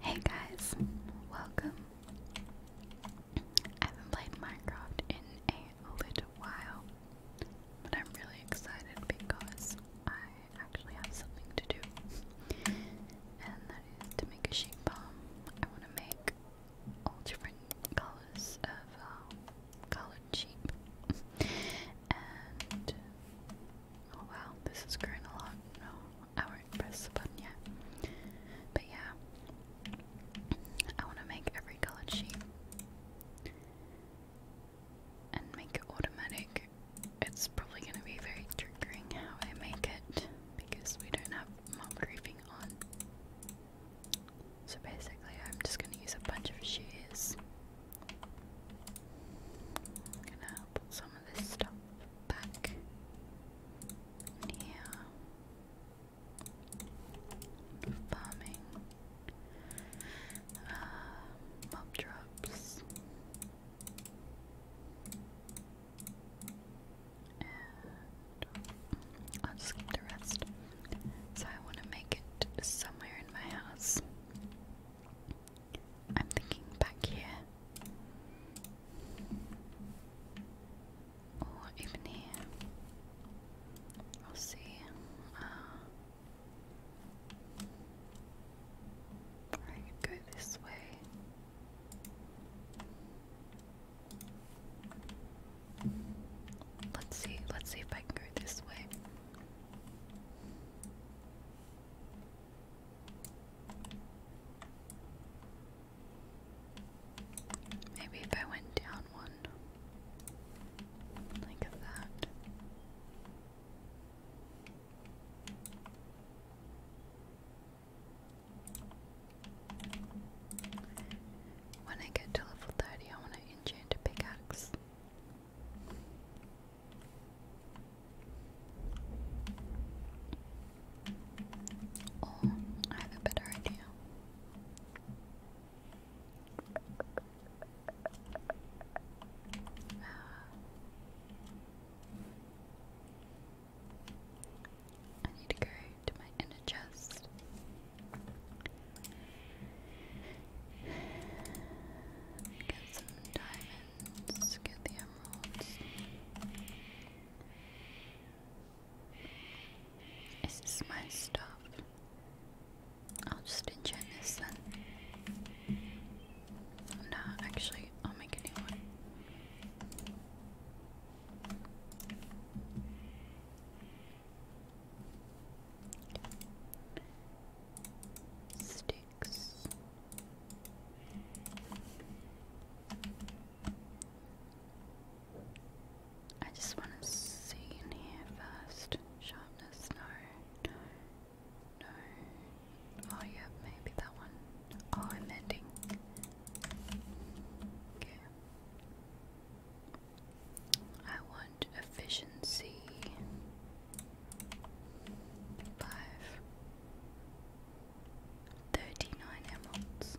Hey guys, welcome. I haven't played Minecraft in a little while, but I'm really excited because I actually have something to do, and that is to make a sheep farm. I want to make all different colors of um, colored sheep, Oh wow, this is growing a lot. No, I won't press the button yet. But yeah, I want to make every colored sheet and make it automatic. It's probably going to be very triggering how I make it because we don't have mob grouping on. So basically, I'm just going to use a bunch of shears. I'm gonna put some of this stuff back in Farming. Uh, mob drops. And I'll just skip the rest. So I want to make it somewhere in my house. I'm thinking back here. Or even here. We'll see. Uh, I could go this way. Let's see, let's see if I can go this way. Maybe if I went down one, like that. When I get to level 30, I want to enchant a pickaxe. Oh, I have a better idea. I need to go to my inner chest. Get some diamonds. Let's get the emeralds. Is my stuff? I'll just enchant this then. No, actually, I'll make a new one. Steel. I just want to see in here first. Sharpness, no, no, Oh, yeah, maybe that one. Oh, I'm mending. Okay. I want efficiency. Five. Thirty-nine emeralds.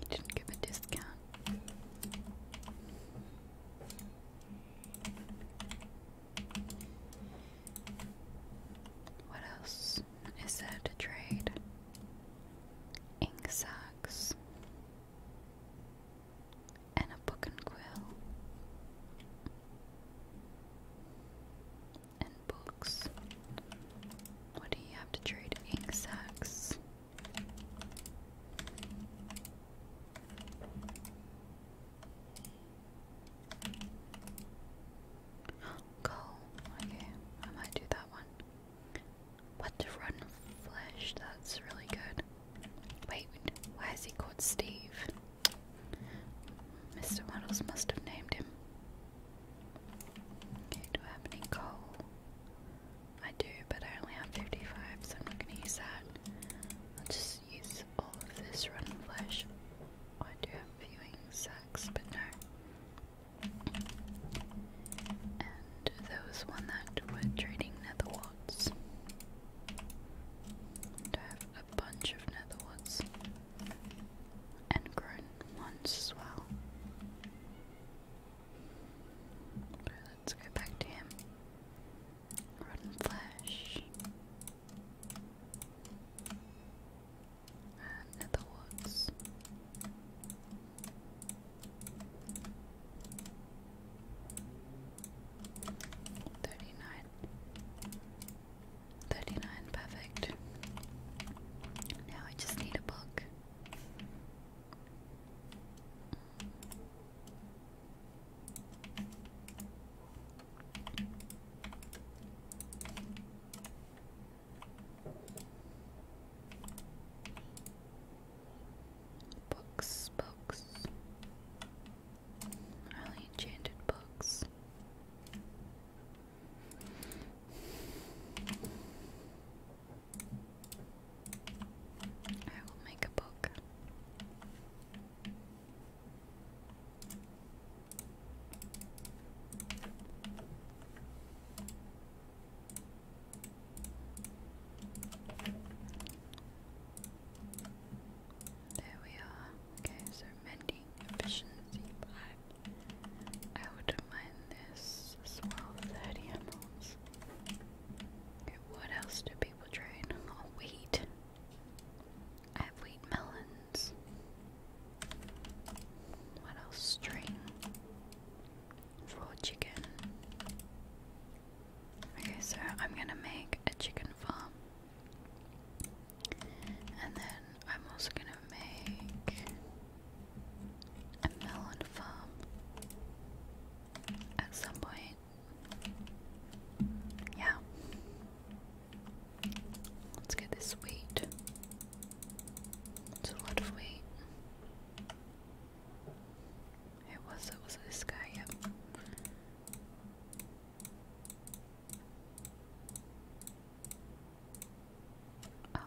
You didn't give a discount. What else is there to trade? Ink sacks and a book and quill. And books. What do you have to trade? Ink sacks. Go. Okay, I might do that one. What to run flesh? That's really good. Wait, why is he called Steve? Mr. Waddles must have named him. do I have any coal? I do, but I only have 55, so I'm not going to use that. I'll just use all of this rotten flesh. Oh, I do have viewing sacks, but no. And there was one that were trading nether bunch of netherwoods and grown ones as well. let's go back to him. Rotten flesh. And netherwoods. Thirty nine. 39, perfect. Now I just need a book. Books, books. Highly enchanted books. I will make a book. There we are. Okay, so mending efficiency I wouldn't mind this as emeralds. Okay, what else do people train? Oh, wheat. I have wheat melons. What else? String. Raw chicken. Okay, so I'm gonna make a chicken farm. And then I'm also gonna make a melon farm at some point. Yeah. Let's get this wheat. It's a lot of wheat. It was it was this guy, yep. Oh.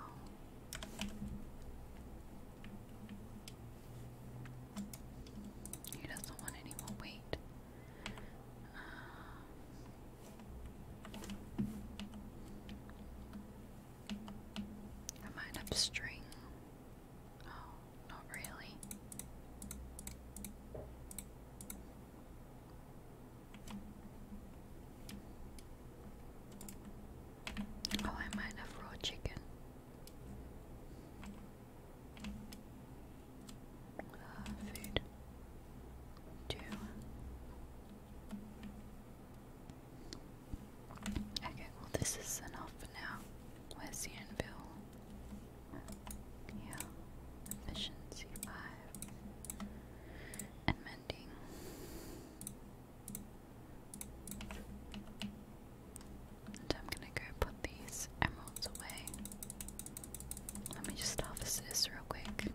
He doesn't want any more um, I might have string. Oh not really. Oh, I might have raw chicken. Uh, food. Two. Okay, well, this is enough for now. Where's the yeah. Efficiency five. And And I'm gonna go put these emeralds away. Let me just harvest this real quick.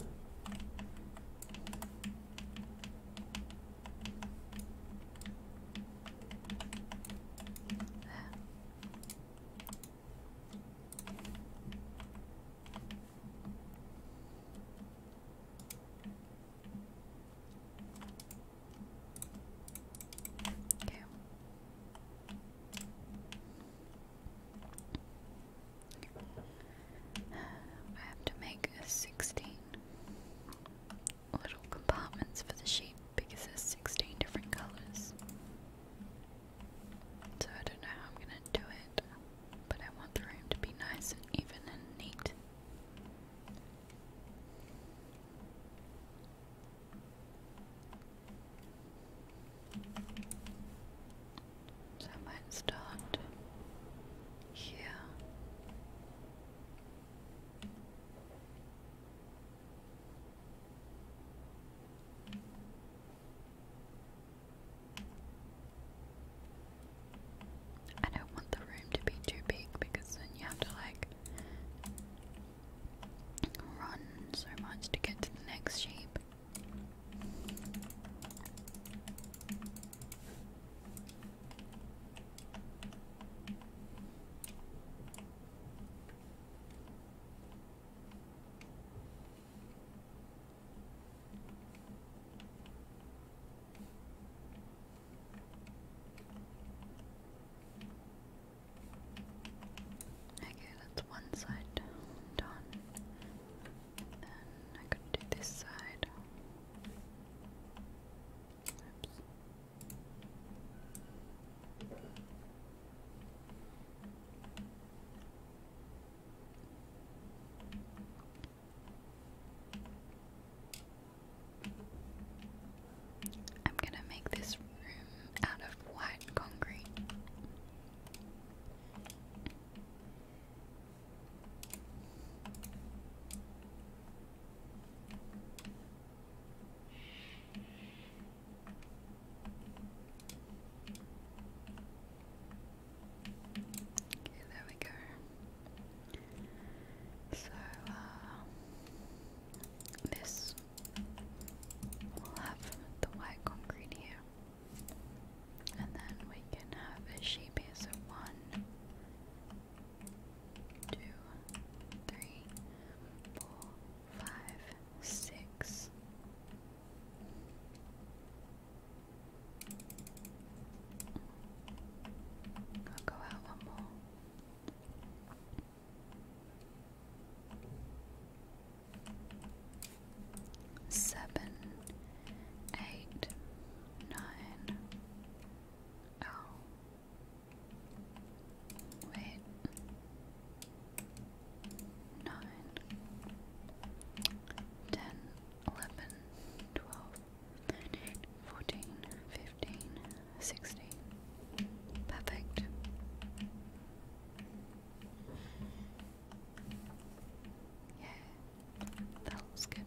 I have to make 16 little compartments for the sheep because there's 16 different colors. So I don't know how I'm gonna do it, but I want the room to be nice and even and neat. So I start here. I don't want the room to be too big because then you have to like run so much to get to the next shape. Okay, that's one side done. Then I could do this side. I'm going to make this room out of white concrete. There we go. So, uh, this will have the white concrete here. And then we can have a sheep here. one, two, three, four, five, six. I'll go out one more. Seven, eight, nine. Oh, Wait. Nine. Perfect. Yeah. That looks good.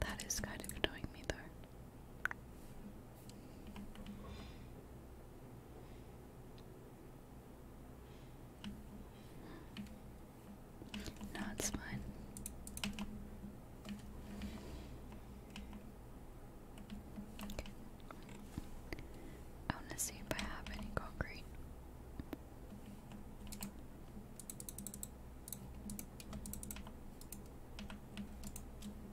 That is kind of annoying me though. No, it's fine. I want to see if I have any concrete. Um,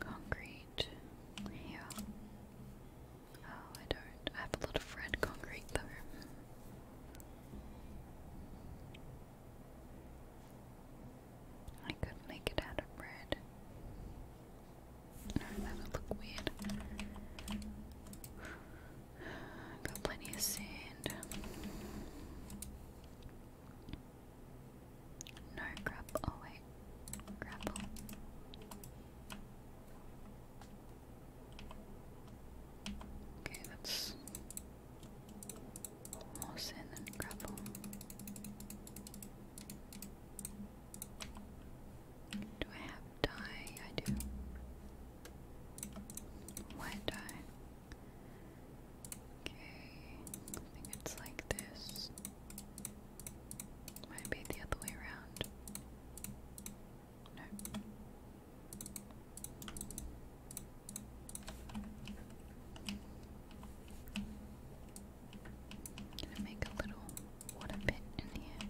concrete. Yeah. Oh, I don't. I have a lot of red concrete though. I could make it out of bread. No, that would look weird. Got plenty of sand. No grapple. Oh wait, grapple. Okay, that's more sand than grapple. Do I have dye? I do. White dye. Okay, I think it's like this. Might be the other way around. No. I'm gonna make a little water bit in here.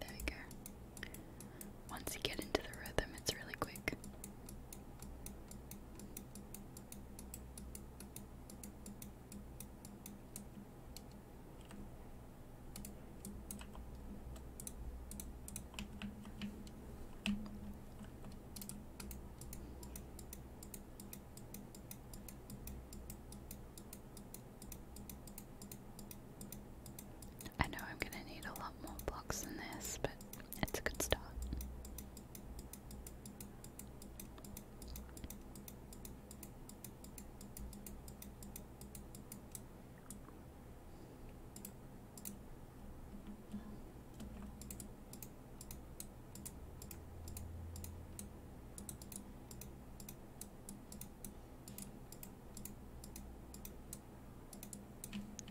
There we go. Once you get into the rhythm, it's really quick. I know I'm gonna need a lot more blocks than this, but it's a good start.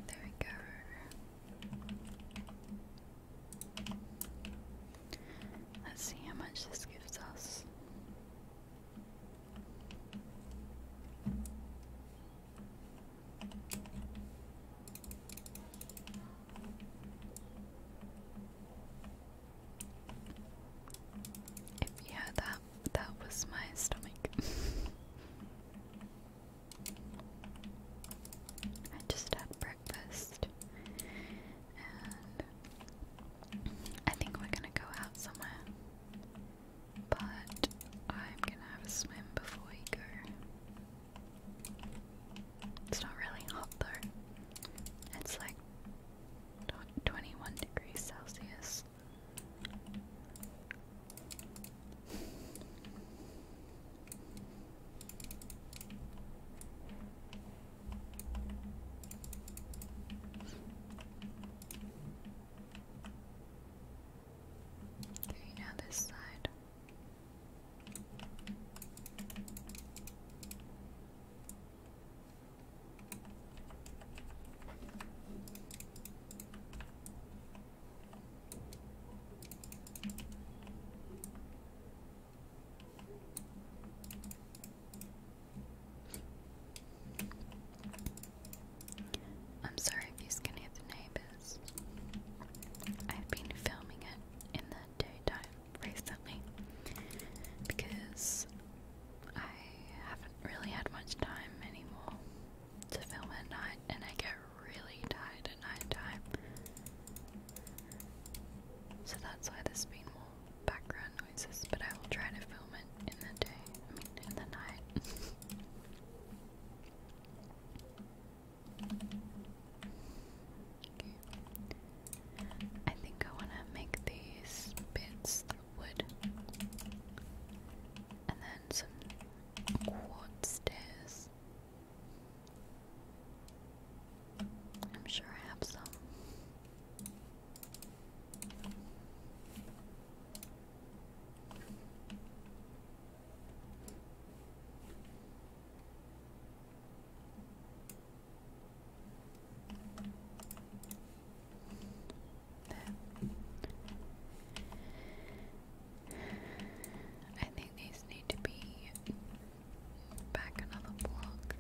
There we go. Let's see how much this gives us. If yeah, that that was my stomach. I just had breakfast, and I think we're gonna go out somewhere. But I'm gonna have a swim before we go. It's not really hot though. It's like 21 degrees Celsius. Okay, now this side. I'm sorry if you are skinny the neighbors. I've been filming it in the daytime recently because I haven't really had much time anymore to film at night, and I get really tired at night time. So that's why this has been more background noises, but I will try to film it in the day, I mean, in the night. I think I want to make these bits of wood. And then some quartz stairs. I'm sure I have some. I think these need to be back another block.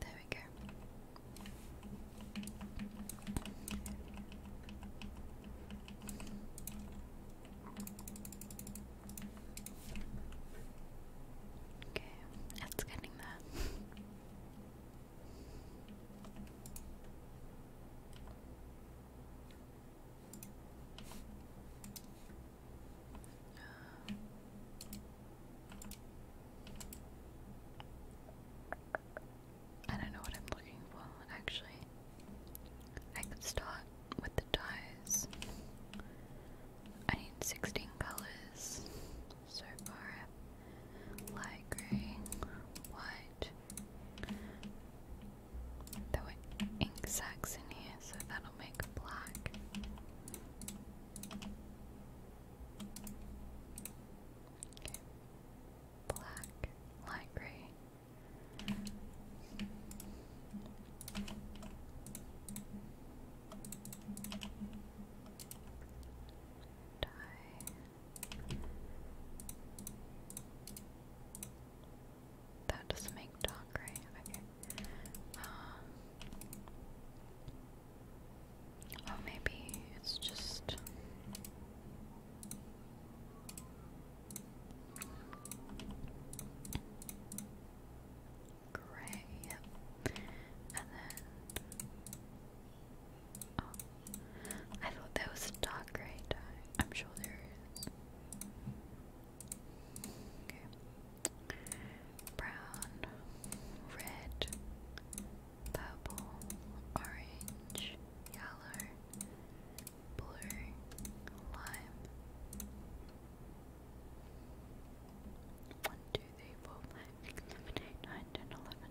There we go. Okay, it's getting there. I don't know what I'm looking for, actually. I could start with the dyes. I need 16 colors so far. Light grey, white. There ink sacks in here, so that'll make black. Black, light grey. Dye. That doesn't make dog right. Okay. Um, oh, maybe it's just. Gray, yep. And then Oh. I thought there was a dark grey I'm sure there is. Okay. Brown, red, purple, orange, yellow, blue, lime. One, two, three, four, five, six, seven, eight, nine, ten, eleven.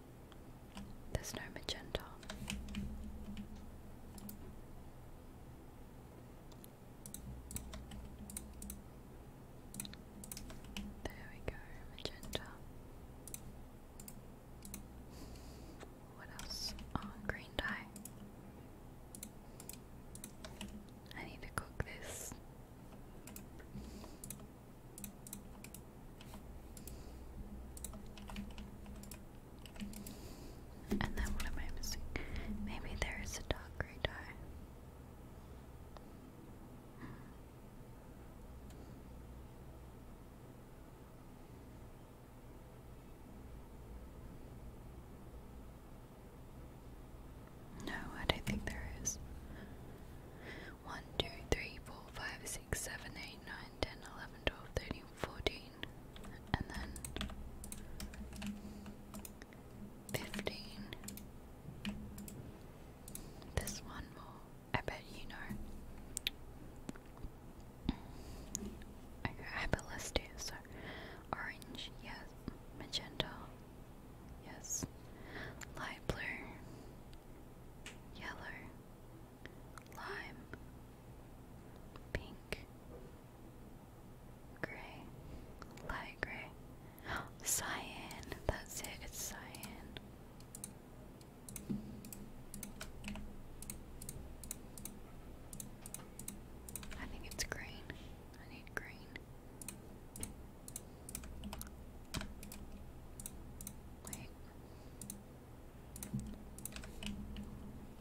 There's no magenta. There we go, magenta. What else? Oh, green dye. I need to cook this. And then what am I missing? Maybe there is a dog radar. Hmm. No, I don't think there is. 1, 2, 3, 4, 5, 6, 7, 8, 9, 10, 11, 12, 13, 14, and then 15. There's one more, I bet you know. Okay, I have a list here, so orange, yes, magenta, Yes. Light blue. Yellow. Lime. Pink. Grey. Light grey. Cyan. That's it. It's cyan. I think it's green. I need green. Wait.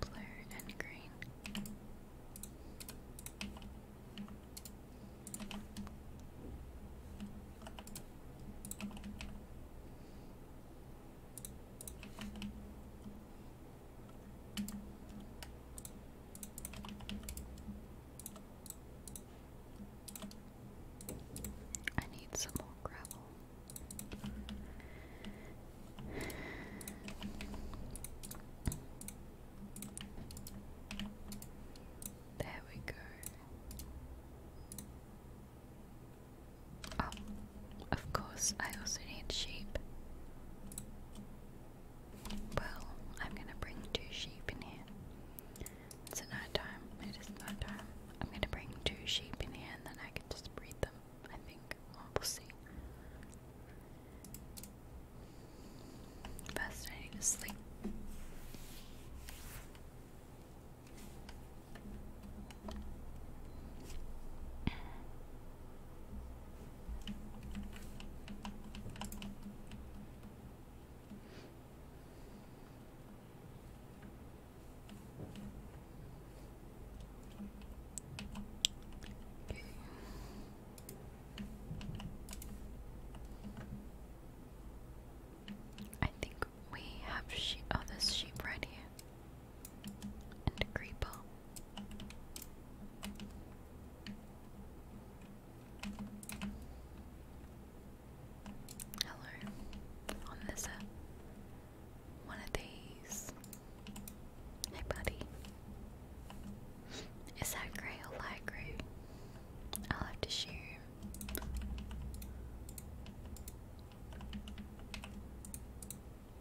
Blue and green. I need some more gravel. There we go. Oh, of course, I also need sheep. Well, I'm gonna bring two sheep in here. It's at night time. It is night time. I'm going to bring two sheep in here and then I can just breed them, I think. we'll see. First, I to sleep. I think we have sheep. Oh, there's sheep right here. And creeper. Hello. On One of these. Hey buddy. Is that grey or light grey? I'll have to shoot.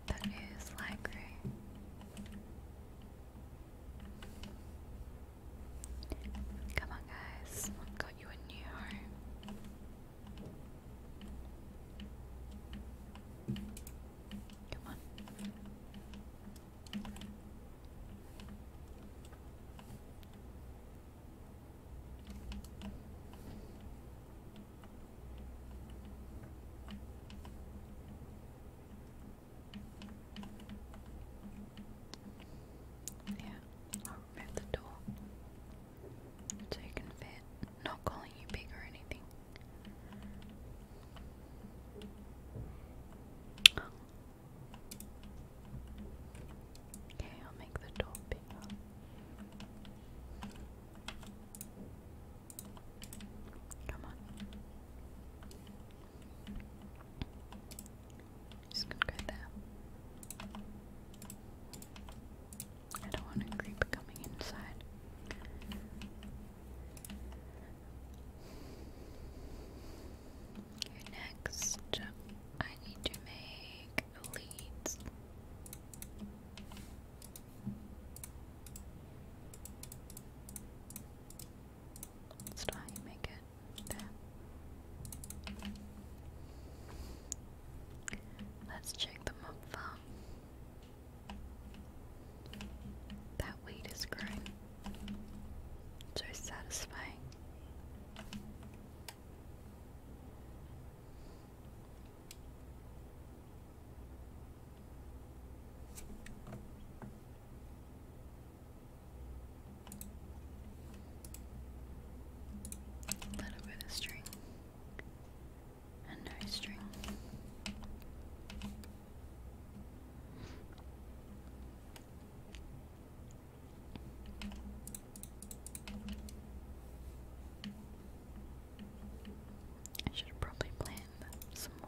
That is light grey. Come on, guys. got you a new home. Come on. Yeah, I'll remove the door so you can fit. Not calling you big or anything. Okay, I'll make the door bigger. Come on. Just gonna go there. I don't want a creeper coming inside. Okay, next I need to make leads. That's not how you make it. Let's check the mob farm. That weed is growing. So satisfying. A little bit of string and no string. I should have probably planned some more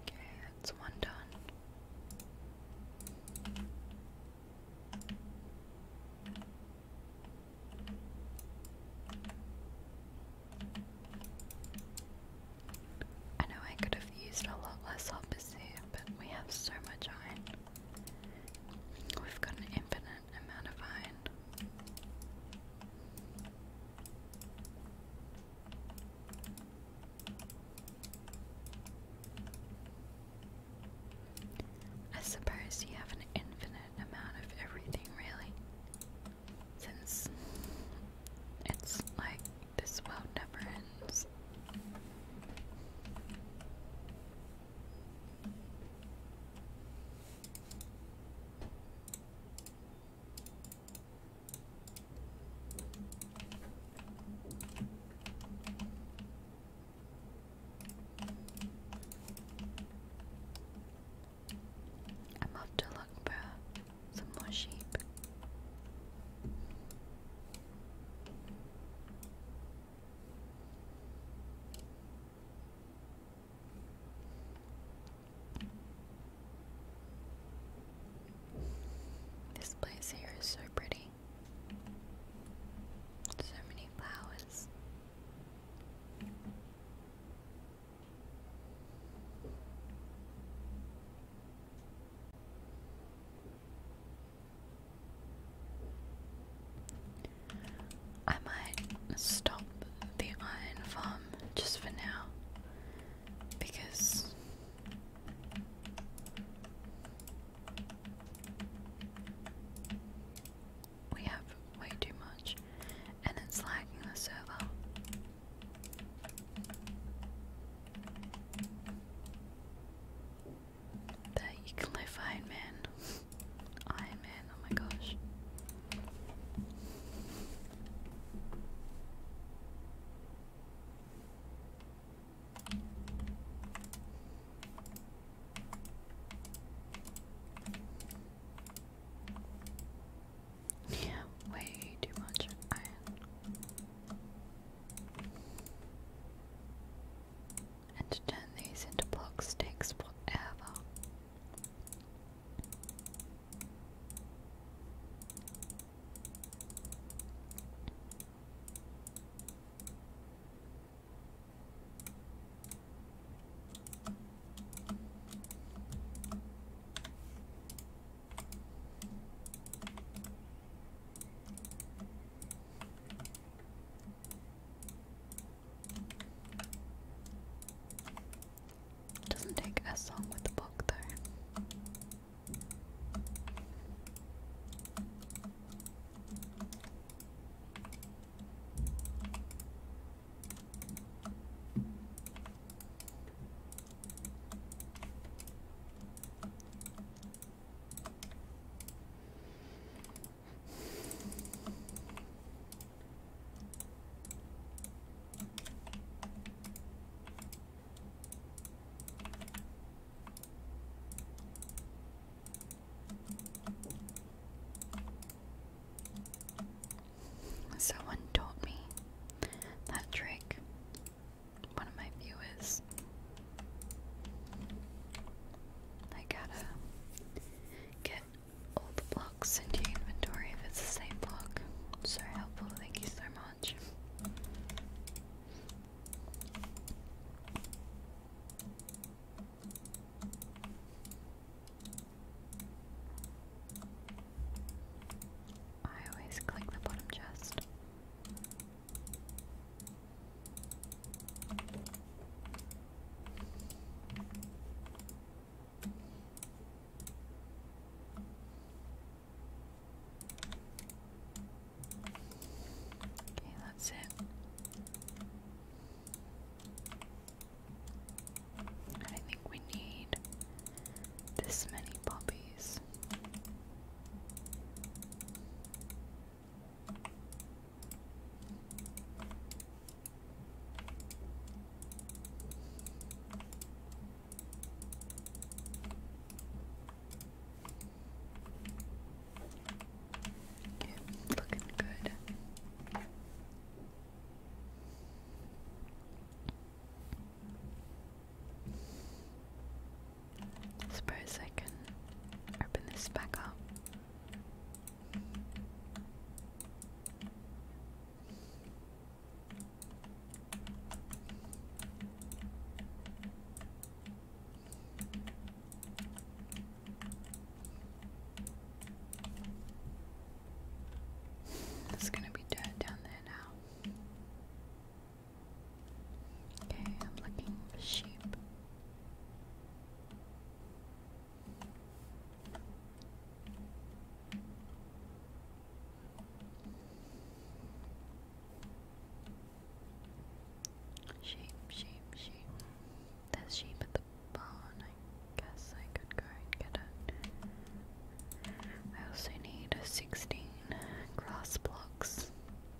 Okay, that's one done. I know I could have used a lot less office but we have so much iron. We've got an infinite amount of iron. I suppose you have an infinite amount of everything, really. Since it's like this world never I'm off to look for some more sheep. This place here is so pretty. So many flowers. I might stop the iron farm just for now because we have way too much and it's lagging the server that you can live Iron Man. Iron Man, oh my gosh. Yeah, way too much iron. And turn these into blocks takes whatever. It doesn't take as long with a book though. Someone taught me that trick one of my viewers. I gotta get all blocks into inventory if it's the same block. So helpful, thank you so much. I always click the bottom chest. Okay, that's it. And I think we need this many poppies. Okay, looking good. Suppose I can open this back up. There's going to be dirt down there now. Okay, I'm looking for sheep. Sheep, sheep, sheep. There's sheep at the barn. I guess I could go and get it. I also need a 16 grass blocks.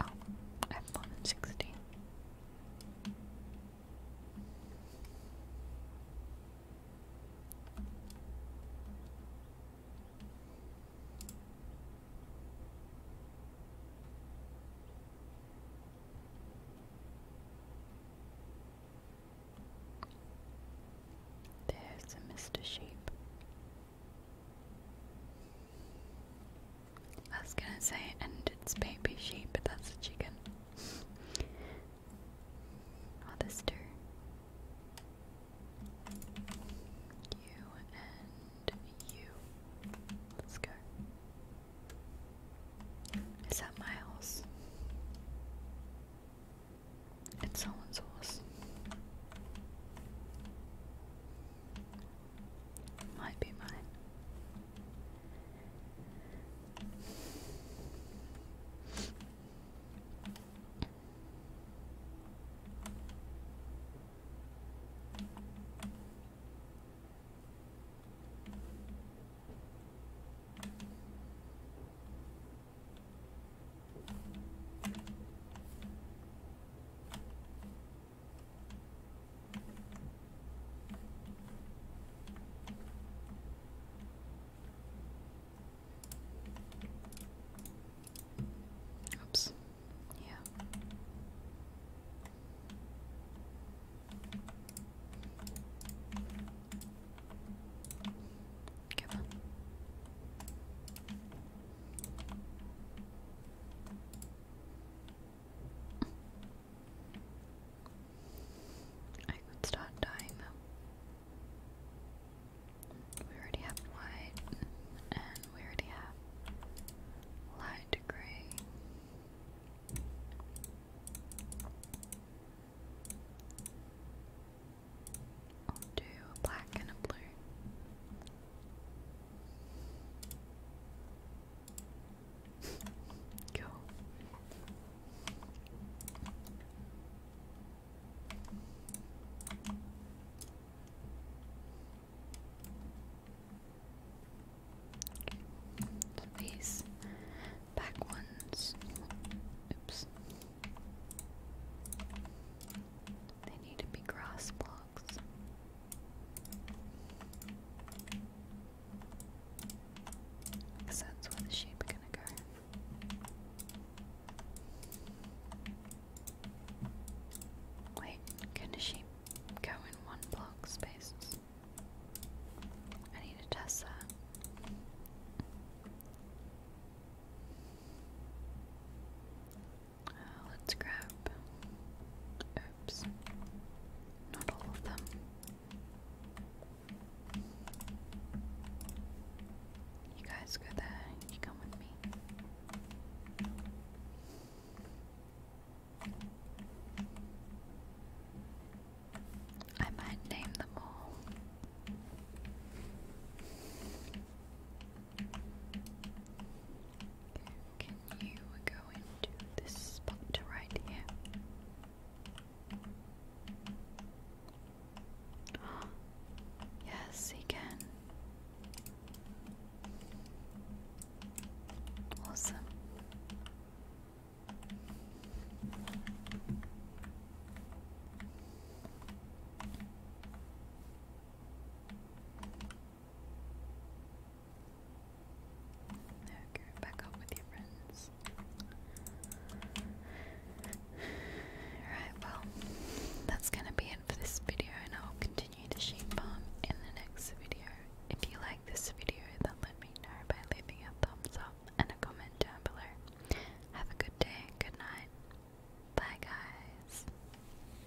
Oh, I have more than 60. There's a Mr. Sheep. I was gonna say, and it's baby sheep, but that's a chicken. All two. You and you. Let's go. Is that my horse? It's someone's horse. Might be mine. Oops. Yeah. Come on. I could start dying though. We already have white, and we already have light grey. I'll do a black and a blue. Go. Okay. These back ones. Oops. They need to be grass blocks. Because that's where the sheep are gonna go. Wait, can a sheep go in one block spaces? I need to test that let's grab. Oops. Not all of them. You guys go there, you come with me. I might name them all. Can you go into this spot right here? yes, he can. Awesome go back up with your friends. Alright, well, that's going to be it for this video, and I'll continue to sheep farm in the next video. If you like this video, then let me know by leaving a thumbs up and a comment down below. Have a good day, good night. Bye, guys.